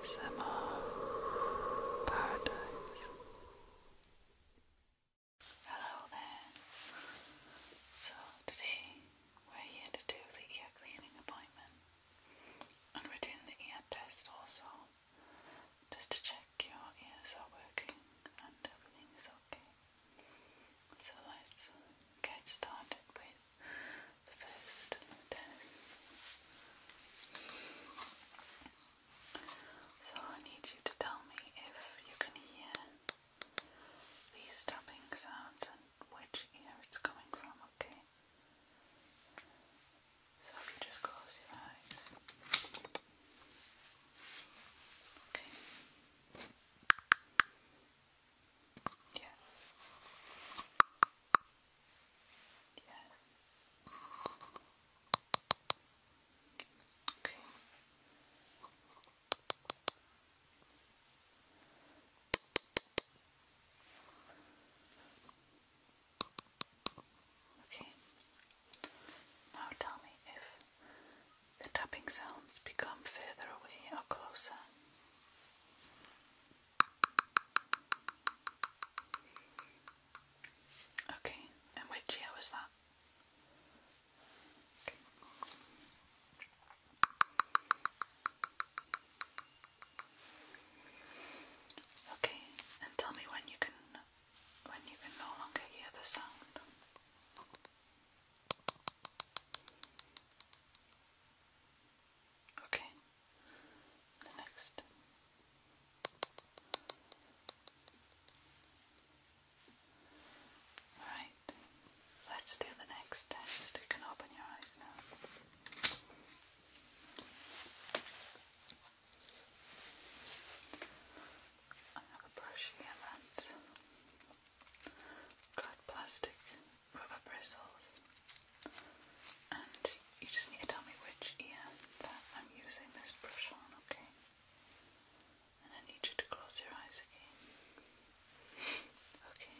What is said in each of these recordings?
ASMR Paradise. Hello there. So today we're here to do the ear cleaning appointment and we're doing the ear test also just to check your ears are working and everything is okay. So let's get started with the first test. So I need you to tell me if you can hear these tapping sounds and which ear it's coming from, okay? So if you just close your eyes. Okay. Yes. Yes. Okay. Okay. Now tell me if the tapping sounds become further away or closer. Okay, and which year was that? okay, and tell me when you can when you can no longer hear the sound. Okay, the next. Alright, let's do the next test. You can open your eyes now. I have a got plastic rubber bristles and you just need to tell me which ear that I'm using this brush on, okay? And I need you to close your eyes again. Okay.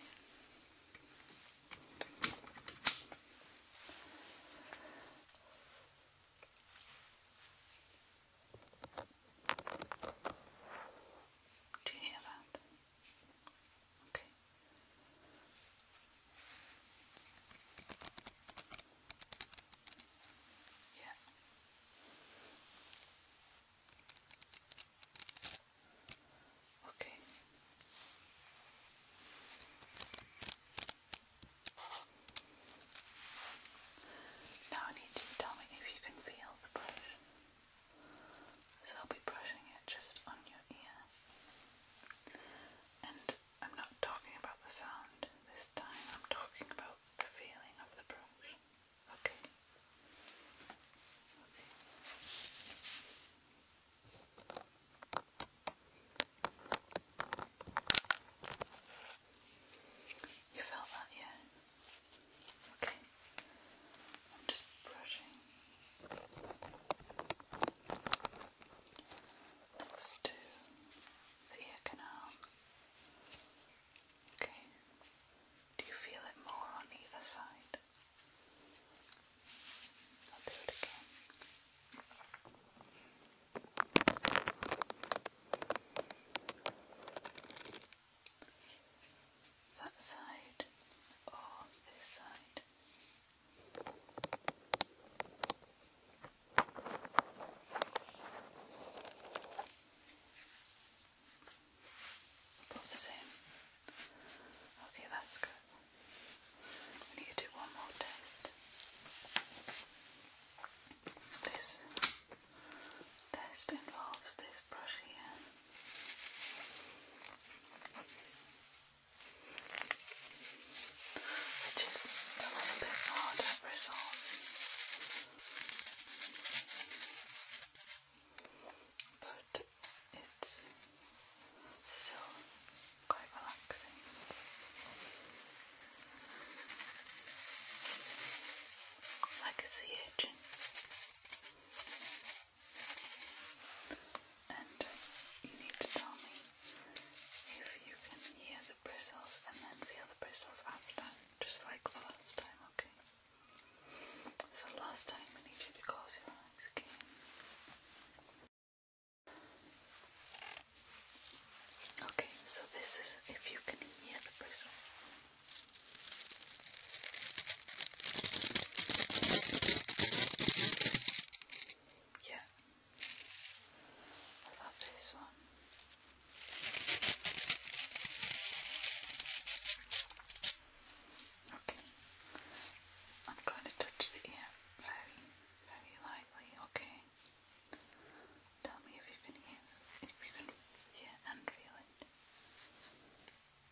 Do you hear that? Okay. Yeah. Okay. Now I need you to tell me if you can feel the brush. Okay. So I'll be brushing it just on your ear. And I'm not talking about the sound this time, I'm talking about the feeling of the brush. Okay. okay. You felt that, yeah? Okay. I'm just brushing. Let's the ear canal. Okay. Do you feel it more on either side? I'll do it again. That side or this side? Both the same. Okay, that's good. We need to do one more test. This test involves this brush here which is a little bit hard to resolve. But it's still quite relaxing. Like a sea urchin. And you need to tell me if you can hear the bristles and then feel the bristles after that, just like the last time, okay? So, last time I need you to close your eyes again. Okay, so this is if you can hear the bristles. Yeah, I love this one. Okay, I'm going to touch the ear very, very lightly. Okay, tell me if you can hear, if you can hear and feel it.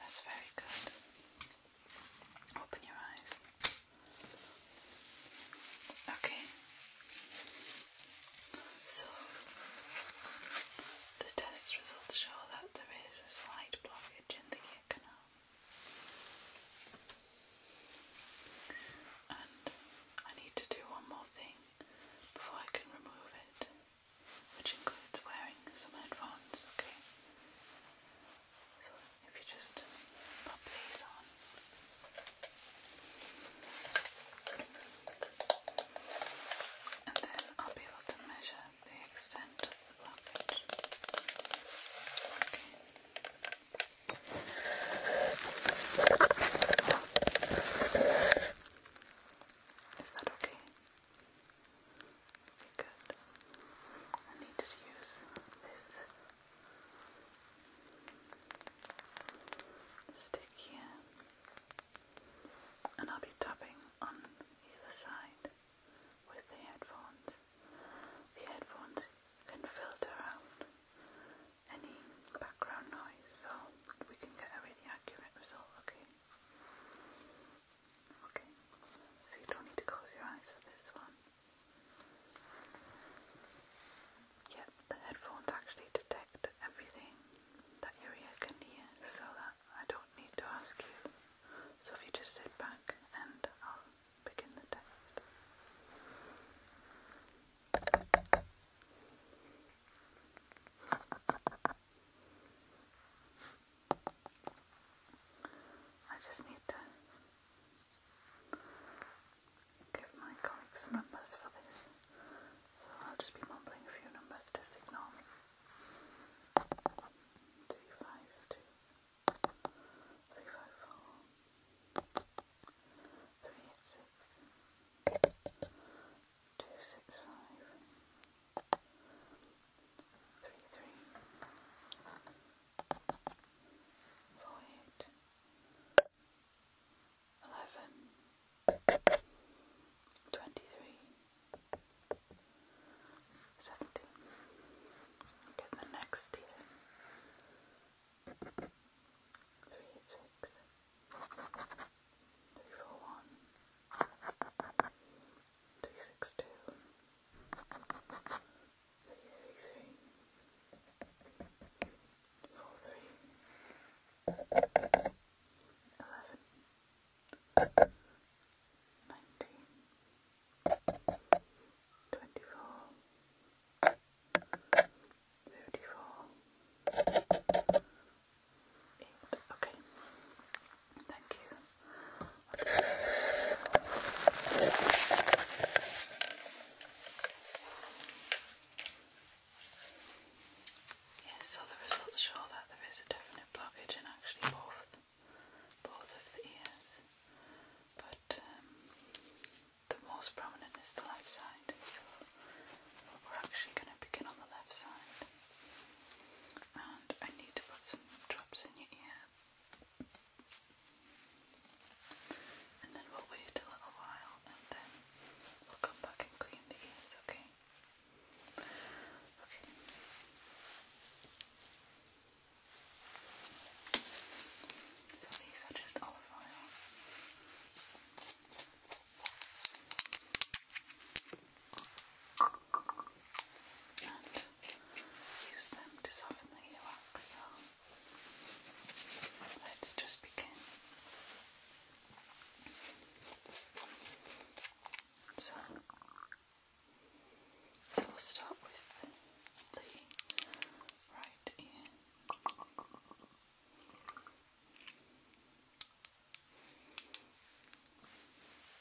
That's very good. Open your eyes. Okay. So, the test results show that there is a slight blockage in the ear canal. And I need to do one more thing before I can remove it which includes wearing some headphones, okay? So if you just pop these on. And then I'll be able to measure the extent of the pocket. Is that okay? Good. I need to use this stick here, and I'll be tapping on either side with the headphones. The headphones can filter out any background noise so we can get a really accurate result, okay? Okay, so you don't need to close your eyes for this one. Yep, the headphones actually detect everything that your ear can hear, so that I don't need to ask you. So if you just sit back and I'll begin the test. I just need to give my colleagues numbers for this. So I'll just be mumbling a few numbers, just ignore me. Three five two three five four three eight six two six five three three four eight eleven twenty three seventeen get the next here three six three four one three six two three three three four three eleven nineteen twenty four Fifty-four, Yes, so the results show that there is a definite blockage in actually both both of the ears. But um, the most prominent is the left side, we're actually going to begin on the left side and I need to put some drops in your ear. And then we'll wait a little while and then we'll come back and clean the ears, okay? Okay. So these are just olive oil and use them to soften the earwax. So let's just begin. So, so we'll start with the right ear.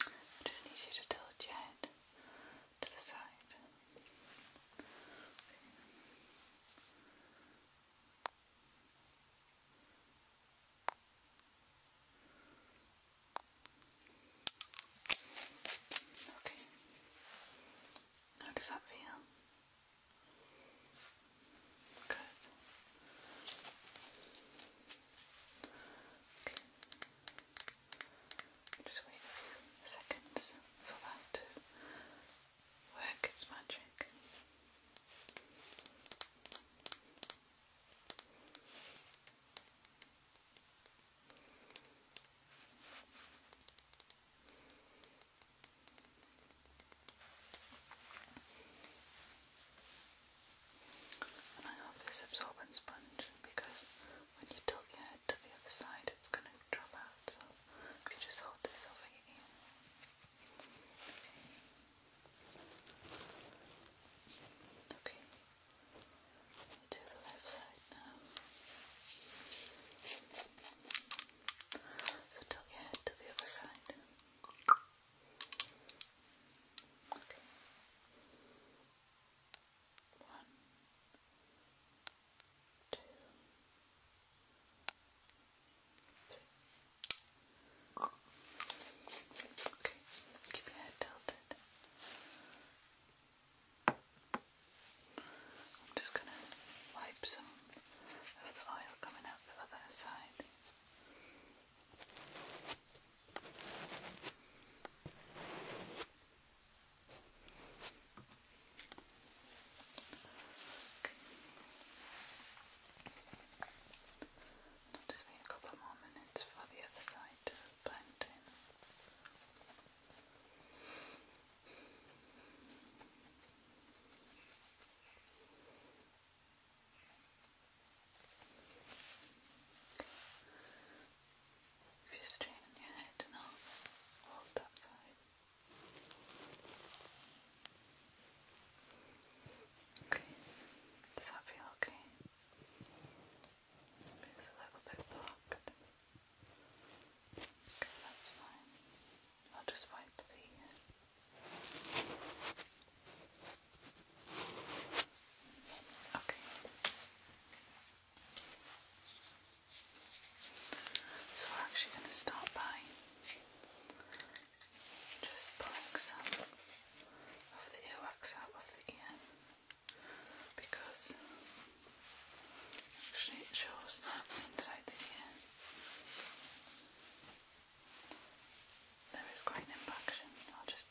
I just need you to tilt your head to the side. Okay. How does that feel? Good. Okay. Just wait a few seconds for that to work its magic. And I have this absorbent sponge because when you tilt your head to the other side, it's going to drop out. So if you just hold this over your ear. Okay. okay. To the left side now. So tilt your head to the other side. Okay. One, two, three. Okay, keep your head tilted. I'm just going to wipe some of the oil coming out the other side. I'll just wait a couple more minutes for the other side to blend in. If you straighten your head now, hold that side. Okay, does that feel okay? It's a little bit blocked. Okay, that's fine. I'll just wipe the. Uh, Okay. So we're actually going to start by just pulling some of the earwax out of the ear because actually shows that inside the ear there is quite an impaction. I'll just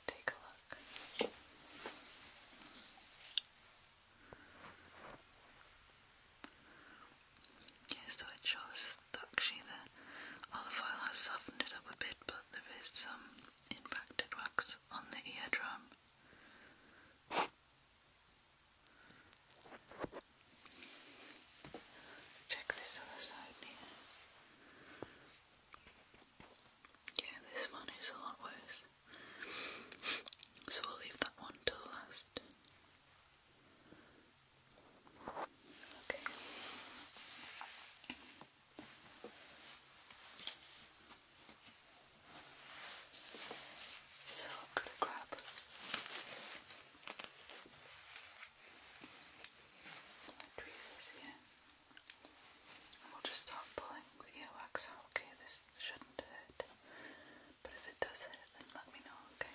just so it shows that actually the olive oil has softened it up a bit, but there is some impacted wax on the eardrum. Check this other side here. Yeah, this one is a lot worse. So we'll leave that one till last. Okay. So I'm gonna grab my tweezers here. And we'll just start pulling the earwax out, okay? This shouldn't hurt, but if it does hurt, then let me know, Okay,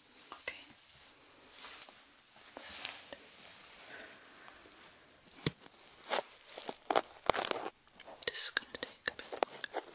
Okay. This is gonna take a bit longer.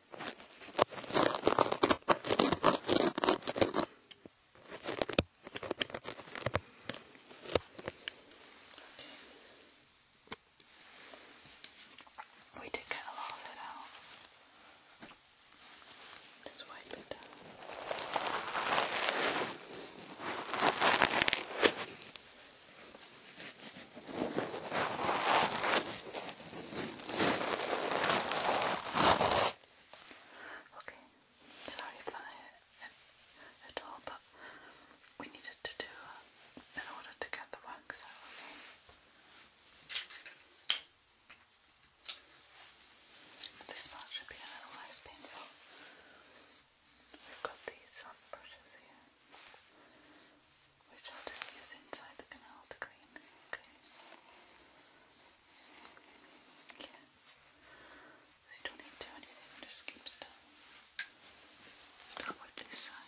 Okay. We did get a lot of it out. Just wipe it down. Okay. Okay, sorry if that hit at all, but we needed to do uh, in order to get the wax okay? This part should be a little less painful. We've got these soft brushes here which I'll just use inside the canal to clean. Okay. Yeah. So you don't need to do anything, just keep still. Start with this side.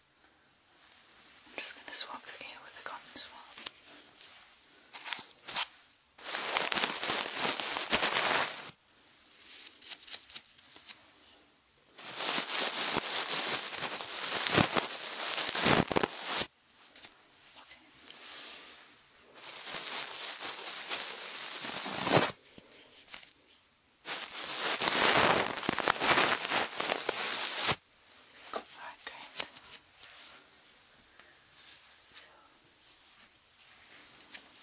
I'm just going to swap the ear with a cotton swab. Okay. Alright, great.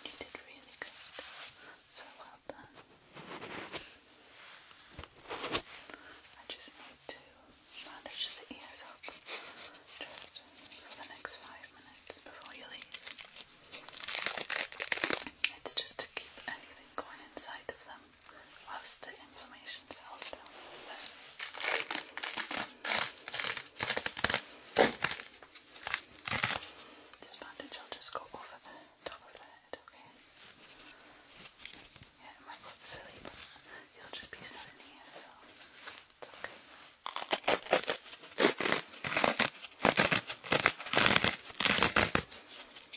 you did really good. So well done. I just need to manage the ears up just for the next five minutes before you leave. It's just to keep anything going inside of them locks the inflammation cells down This bandage will just go over the top of the head, okay? Yeah, it might look silly, but you'll just be sitting so it's okay.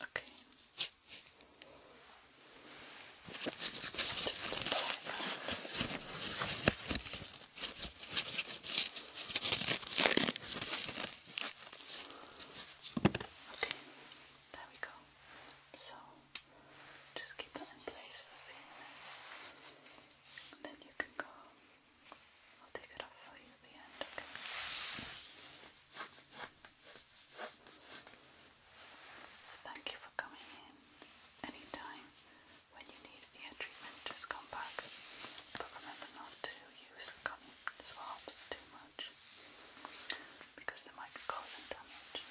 Okay. Okay, there we go. So just keep that in place for a few and then you can go so thank you for coming in. Anytime when you need ear treatment, just come back. But remember not to use cotton swabs too much because they might be causing damage.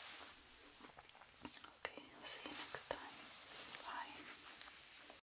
Okay, see you next time. Bye.